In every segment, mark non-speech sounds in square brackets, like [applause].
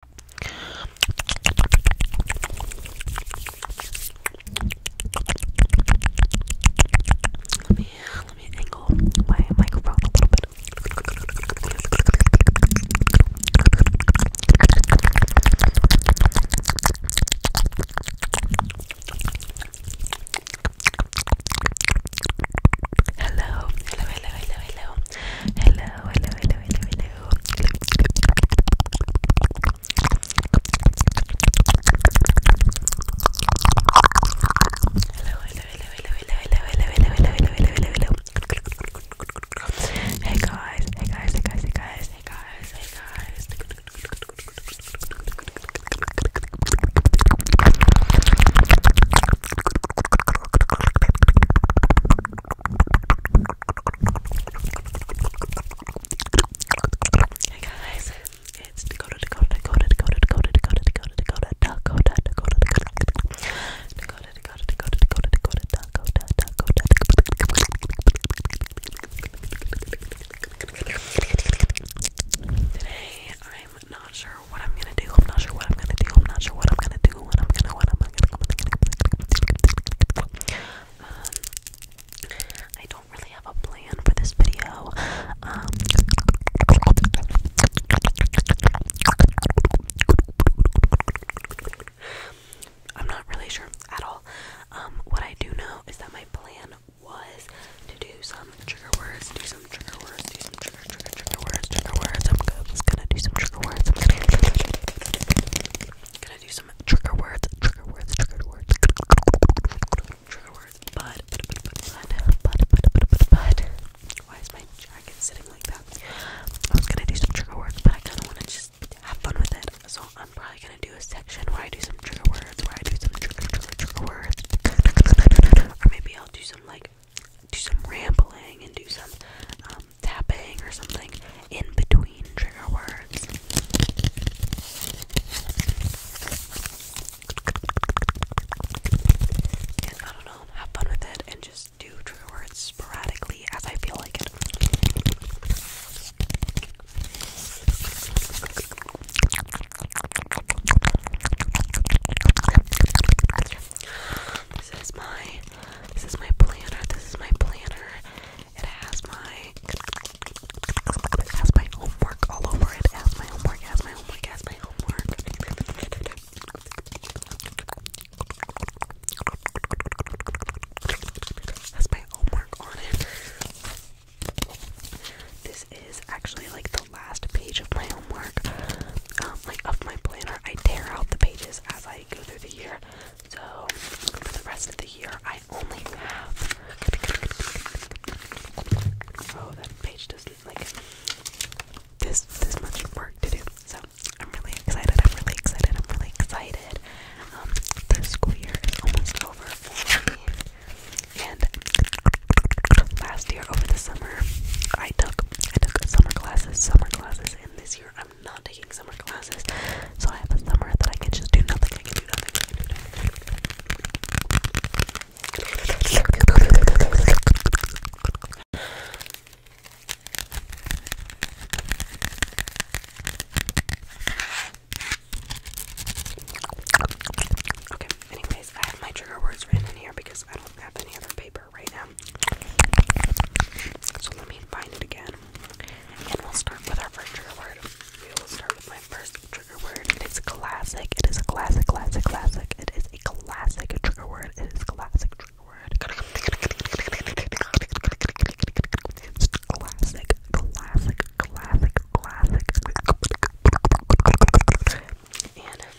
Let me let me angle my microphone a little bit. Hello, hello, hello, hello, hello, hello, hello, hello, hello, hello, hello, Hey guys, hey guys, hey guys, hey guys, hey guys, hey guys. Hey guys, it's Dakota, Dakota, Dakota, Dakota, Dakota, Dakota, Dakota, Dakota, Dakota, Dakota, Dakota, Dakota, Dakota, Today, I'm not sure what I'm gonna do. I'm not sure what I'm gonna do. I'm not sure what I'm gonna do. I'm don't really have a plan for this video, I'm not really sure at all, what I do know is that my plan was to do some trigger words, do some trigger words, do some trigger, words trigger, trigger words, trigger words. I'm gonna, I'm gonna do some trigger words. I'm gonna, gonna do some trigger words, trigger words, trigger words, trigger words. But, but, but, but, but, but, but, but, but. Why is my jacket sitting like that? I was gonna do some trigger words, but I kind of want to just have fun with it. So I'm probably gonna do a section where I do some trigger words, where I do some trigger, trigger, trigger words, or maybe I'll do some like do some rambling and do some um, tapping or something in between trigger words. And I don't know, have fun with it and just do trigger words sporadically as I feel like it. This is my this is my planner. This is my planner. It has my it has my homework all over it. has my homework, has my homework, has my homework. has my homework on it. This is actually like the last page of my homework. Um, like of my planner. I tear out the pages as I go through the year. So for the rest of the year, I only have. Oh, this this much work to do. So I'm really excited. I'm really excited. I'm really excited. Um, the school year is almost over And last year over the summer, I took I took summer classes, summer classes this year I'm not taking summer classes, so I have a summer that I can just do nothing. I can do nothing. do nothing. Okay, anyways, I have my trigger words written in here because I don't have any other paper. So let me find it again. And we'll start with our first trigger word. We will start with my first trigger word. It is classic. It is a classic, classic, classic. It is a classic trigger word. It is classic trigger word. classic, classic, classic, classic. And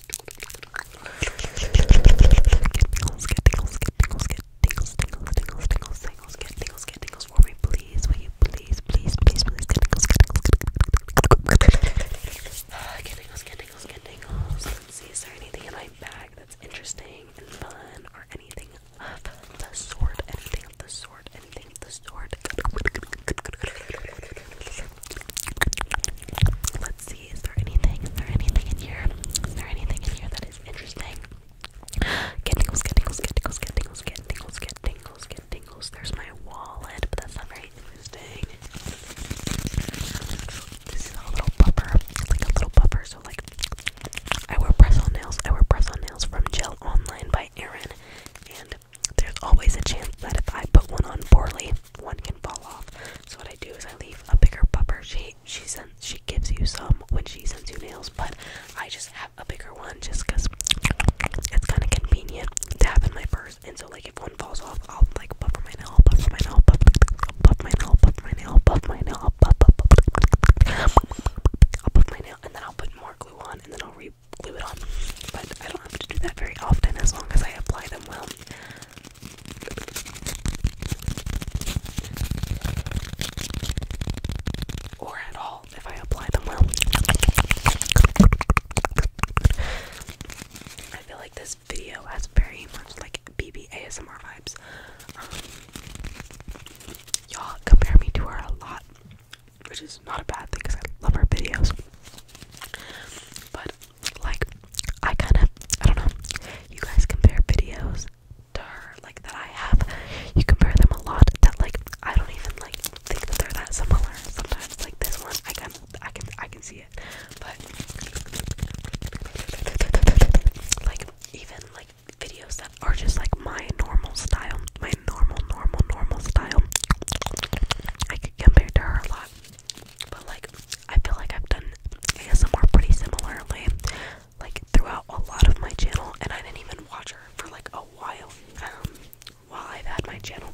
tingles, get tingles, get tingles, get tingles, tingles, tingles, tingles, tingles, tingles, get for me, please. Will you please, please, please, please get tingles, get tingles, get tingles, get tingles, get tingles. Let's see, is there anything in my bag that's interesting and fun or anything of the sort? Anything of the sort? Anything of the sort? Let's see. Is there anything? Is there anything in here? Is there anything in here that is interesting? Get tingles, get tingles, get tingles, get tingles, get tingles, get tingles, get tingles. There's my wallet, but that's not very interesting. This is a little buffer. like a little buffer. So like, I wear press-on nails. I wear press-on nails from Gel Online by Erin, and there's always a chance that if I put one on poorly, one can fall off. So what I do is I leave a bigger pupper. She she sends she gives you some when she sends you nails, but I just have a bigger one just because it's kind of convenient to have in my purse. And so like if one falls off, I'll like puffer my nail, puffer my nail, puff, my nail, puff my nail, puff my nail, i my nail, and then I'll put more glue on, and then I'll re glue it on. But I don't have to do that very often as long as I apply them well. Or at all, if I apply them well. I feel like this video has very much like BB vibes. Um, y'all compare me to her a lot, which is not a bad thing because I love her videos. But like I kind of I don't know. You guys compare videos to her like that I have. You compare them a lot that like I don't even like think that they're that similar. Sometimes like this one I can I can I can see it, but like even like videos that are just like my normal style, my normal normal normal style. I could compare to her a lot, but like I feel like I've done ASMR pretty similarly, like throughout a lot of my channel, and I didn't even watch her for like a while um, while I've had my channel.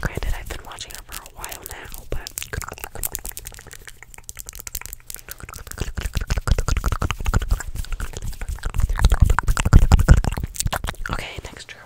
Granted, I've been watching her for a while now, but. Okay, next trigger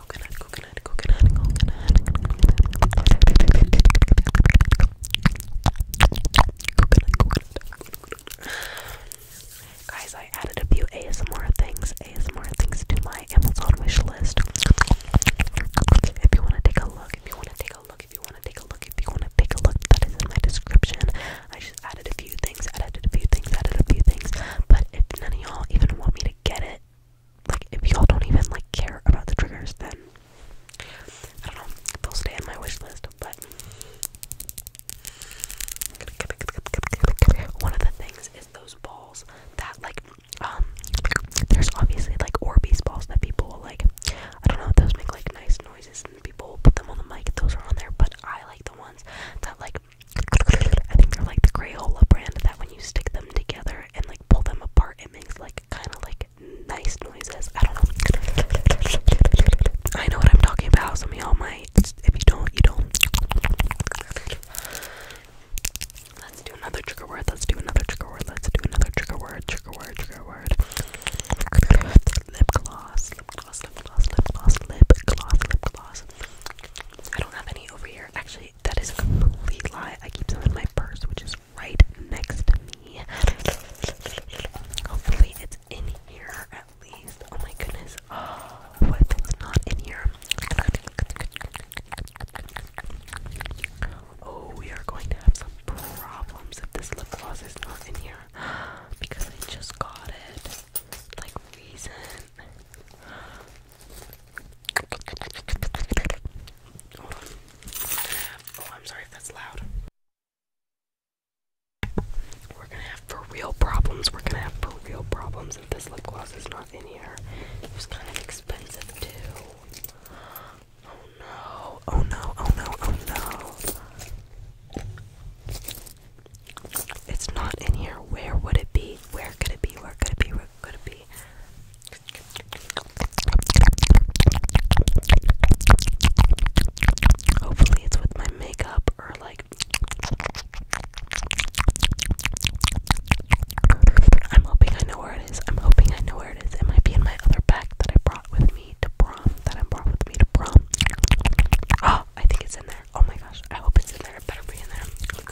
coconut, coconut, coconut, coconut, coconut, coconut. Guys, I added a few ASMR things, ASMR things to my Amazon wish list. If you want to take a look, if you want to take a look, if you want to take a look, if you want to take a look, that is in my description. I just added a few things, added a few things, added a few things. But if none of y'all even want me to get it, like if y'all don't even like care about the triggers then I don't know, they'll stay on my wish list, but one of the things is those balls that like um there's obviously like Orbeez balls that people will like I don't know if those make like nice noises and people will put them on the mic, those are on there, but I like the ones that like I think they're like the Crayola brand that when you stick them together and like pull them apart. It makes like kind of like nice noises. I don't know. I know what I'm talking about. Some y'all might. If you don't, you don't. Let's do another trigger word. Let's do another trigger word. Let's do another trigger word. Trigger word. Trigger word. Lip gloss. Lip gloss. Lip gloss. Lip gloss. Lip gloss. Lip gloss. I don't have any over here. Actually that is a complete lie. I keep them in my purse, which is right next to me. Hopefully, it's in here at least. Oh my goodness. [gasps] what if it's not in here? Oh, we are going to have some problems if this lip gloss is not in here [gasps] because I just got it like recent. Oh, I'm sorry if that's loud. We're gonna have for real problems. We're gonna have for real problems if this lip gloss is not in here. It was kind of expensive too. Oh no, oh no, oh no, oh no. It's not in here. Where would it be? Where could it be? Where could it be? gonna be hopefully it's with my makeup or like I'm hoping I know where it is. I'm hoping I know where it is. It might be in my other bag that I brought with me to prom. That I brought with me to prom. Oh, I think it's in there. Oh my gosh. I hope it's in there. better be in there.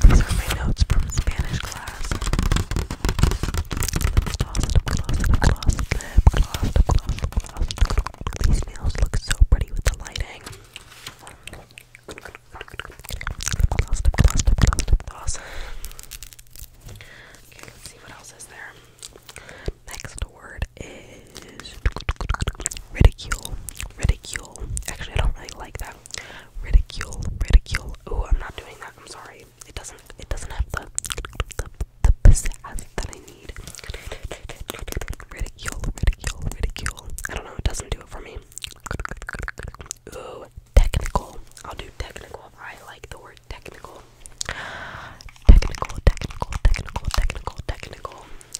These are my notes from Spanish class. These nails look so pretty with the lighting. Okay, see what else is there. Next word is ridicule. Ridicule. Actually, I don't really like that. Ridicule, ridicule. Oh, I'm not doing that. I'm sorry. It doesn't. It doesn't have the the the pizzazz that I need. Ridicule, ridicule, ridicule. I don't know. It doesn't do it for me. Ooh, technical. I'll do technical. I like the word technical. Technical, technical, technical, technical, technical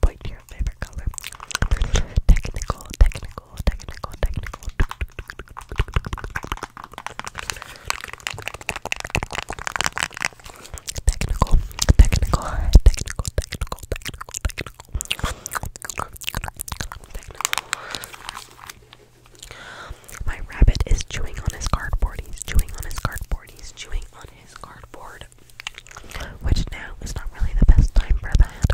Point to your favorite color. Technical, technical, technical, technical. Technical, technical, technical, technical, technical, technical. My rabbit is chewing on his cardboard. He's chewing on his cardboard. He's chewing on his cardboard. Which now is not really the best time for that.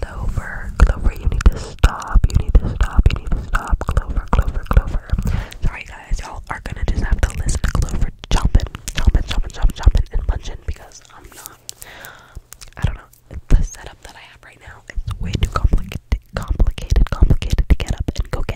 Clover, Clover, you need to stop. You need to stop. You need to stop. Clover, Clover, Clover. Sorry guys, y'all are gonna just have to listen to Clover chomping, chomping, chomping, chomping, and punching because I'm not. I don't know. The setup that I have right now is way too complicated, complicated, complicated to get up and go get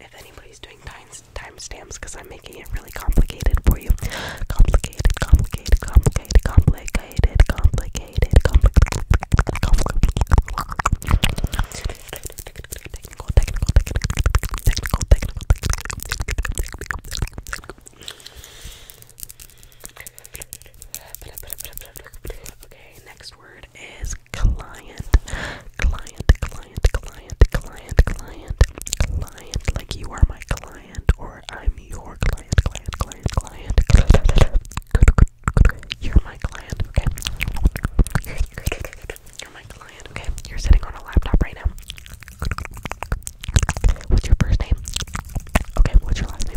if anybody's doing time stamps, because I'm making it really complicated for you. Complicated, complicated, complicated, complicated, complicated, complicated, Okay, next word word is client. Client, client, client, client, client, client. Like you are my client or I'm your client, client, client, client. You're my client, okay? You're my client, okay? You're sitting on a laptop right now. What's your first name? Okay, what's your last name?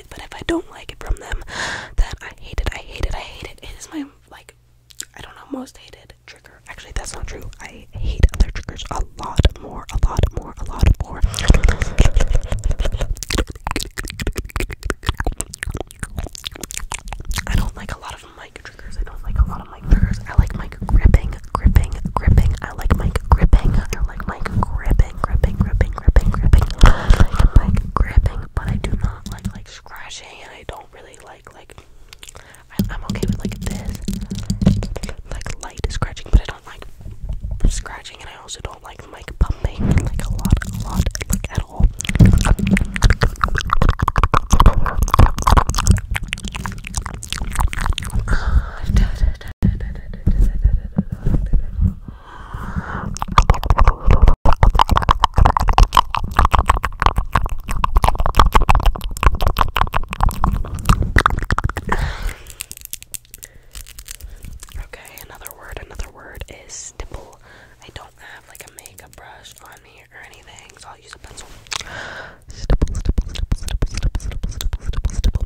but if I don't like it from them, then I hate it, I hate it, I hate it. It is my, like, I don't know, most hated trigger. Actually, that's not true. I hate other triggers a lot more, a lot more, a lot more. I don't like a lot of mic triggers. I don't like a lot of mic triggers. I like mic gripping, gripping, gripping. I like mic gripping. I like mic gripping, gripping, gripping gripping, gripping. I like gripping, but I do not like like scratching, and I don't really like like. I, I'm okay with like this, like light scratching, but I don't like scratching, and I also don't like mic pumping like a lot, a lot, like at all. Okay, another word, another word is stipple. I don't have like a makeup brush on me or anything, so I'll use a pencil. Stipple, stipple, stipple, stipple, stipple, stipple, stipple, stipple, stipple,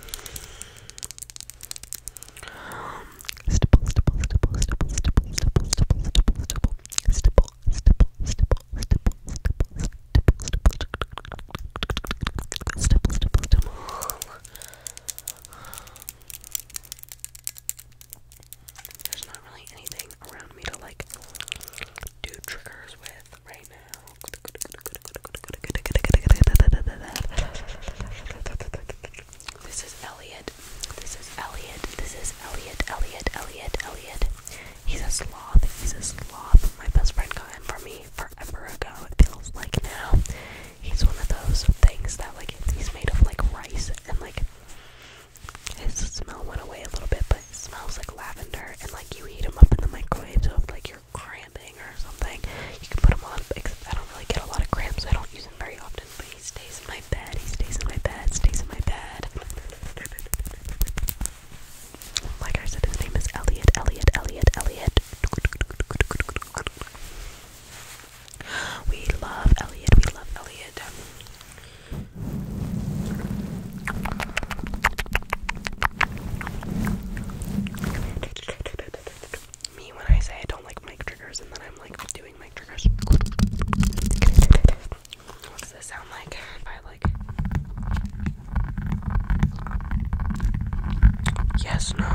Stipple, stipple, stipple, stipple, stipple, stipple, stipple, stipple, stipple, stipple, stipple, stipple, stipple, stipple, stipple, stipple, There's not really anything around me to like do triggers with right now. This is Elliot. This is Elliot. This is Elliot. Elliot. Elliot. Elliot. He's a sloth. He's a sloth. My best friend got him for me forever ago. It feels like now. He's one of those things that like he's made of like rice and like his smell went away a little bit, but it smells like lavender and like you heat him up in the microwave so if like are cramping or something, you can put them on. Except I don't really get a lot of cramps, I don't use them very often. But he stays in my bed. He stays in my bed. Stays in my bed. Like I said, his name is Elliot. Elliot. Elliot. Elliot. We love Elliot. We love Elliot. Me when I say I don't like mic triggers and then I'm like doing mic triggers. What's this sound like? If I like Yes, no.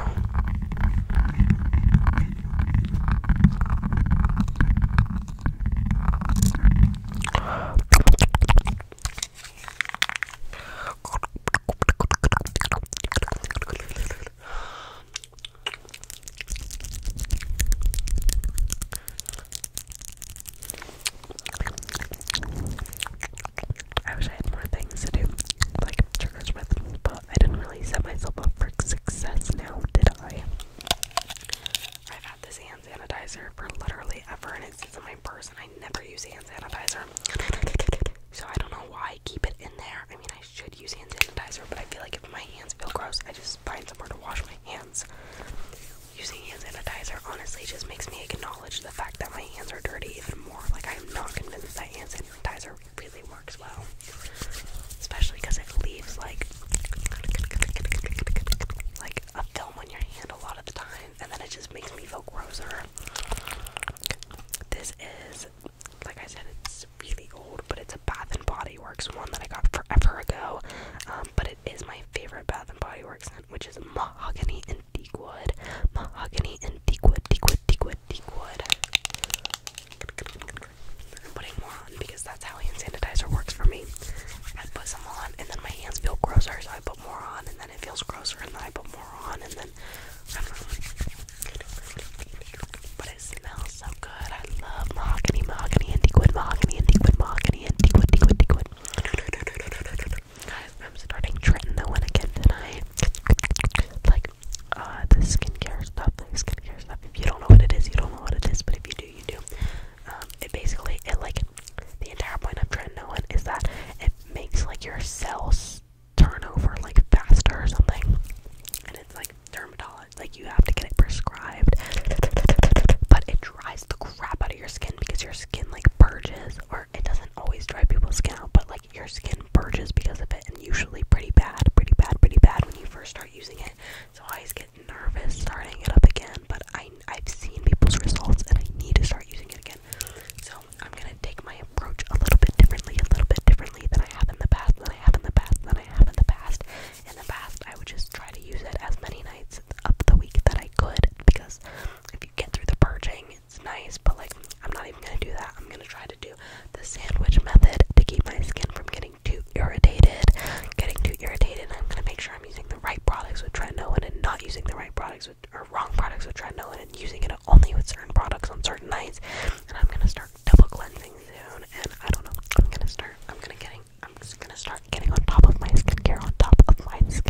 I wish I had more things to do, like triggers with, but I didn't really set myself up for success now, did I? I've had this hand sanitizer for literally ever and it in my purse and I never use hand sanitizer. so I don't know why I keep it in there. I mean, I should use hand sanitizer, but I feel like if my hands feel gross, I just find somewhere to wash my hands. Using hand sanitizer honestly just makes me acknowledge the fact that my hands are dirty even more. Like, I'm not convinced that hand sanitizer really works well. Especially because it leaves, like, like a film on your hand a lot of the time and then it just makes me feel grosser. This is, like I said, it's really old, but it's a Bath and Body Works one that I got forever ago. Um, but it is my favorite Bath and Body Works scent, which is mahogany and teak Mahogany and teak wood, teak wood, I'm putting more on because that's how hand sanitizer works for me. I put some on, and then my hands feel grosser, so I put more on, and it feels grosser, and then I put more on, and then I But it smells so good. I love mahogany, mahogany, antique mahogany, antique mahogany, antique wood, antique Guys, I'm starting tretinoin again tonight. Like, uh, the skincare stuff, the skincare stuff. If you don't know what it is, you don't know what it is, but if you do, you do. Um, it basically, it like, the entire point of tretinoin is that it makes like your cells turnover like faster or something. And it's like dermatology, like you have to get it prescribed. But it dries the crap out of your skin because your skin like purges, or it doesn't always dry people's skin out, but like your skin purges because of it, and usually pretty bad, pretty bad, pretty bad when you first start using it. So I always get nervous starting it up again, but I I've seen people's results and I need to start using it again. So I'm gonna take my approach a little bit differently, a little bit differently than I have in the past, than I have in the past, than I have in the past. In the past, I would just try to use it as many nights of the week that I could because if you get through the purging, it's nice. But like, I'm not even gonna do that. I'm gonna try to do the sandwich method to keep my skin from getting too irritated, getting too irritated. I'm gonna make sure using the right products with tretinoin and not using the right products with, or wrong products with tretinoin and using it only with certain products on certain nights. And I'm gonna start double cleansing soon. And I don't know. I'm gonna start. I'm gonna getting. I'm just gonna start getting on top of my skincare. On top of my skincare.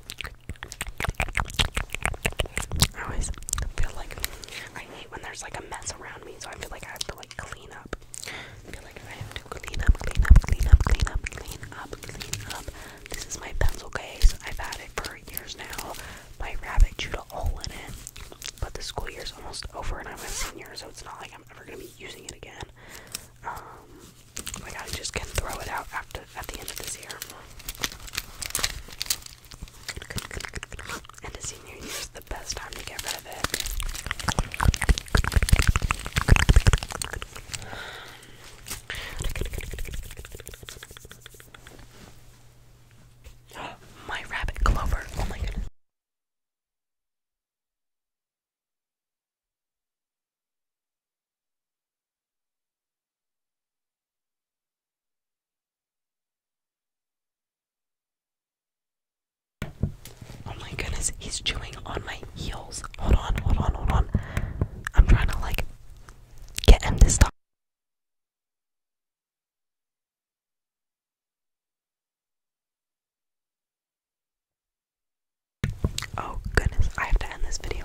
I always feel like I hate when there's like a mess around me, so I feel like I have to like clean up. feel like I have to clean up, clean up, clean up, clean up, clean up, clean up. This is my pencil case. I've had it for years now. My rabbit chewed a hole in it. But the school year is almost over and I'm a senior, so it's not like I'm ever gonna be using it again. Um like I just can throw it out after at the end of this year. And a senior year is the best time to get rid of it. [gasps] My rabbit Clover. Oh my goodness. Oh my goodness, he's chewing on my heels. Hold on, hold on, hold on. I'm trying to like get him this time. Oh goodness, I have to end this video.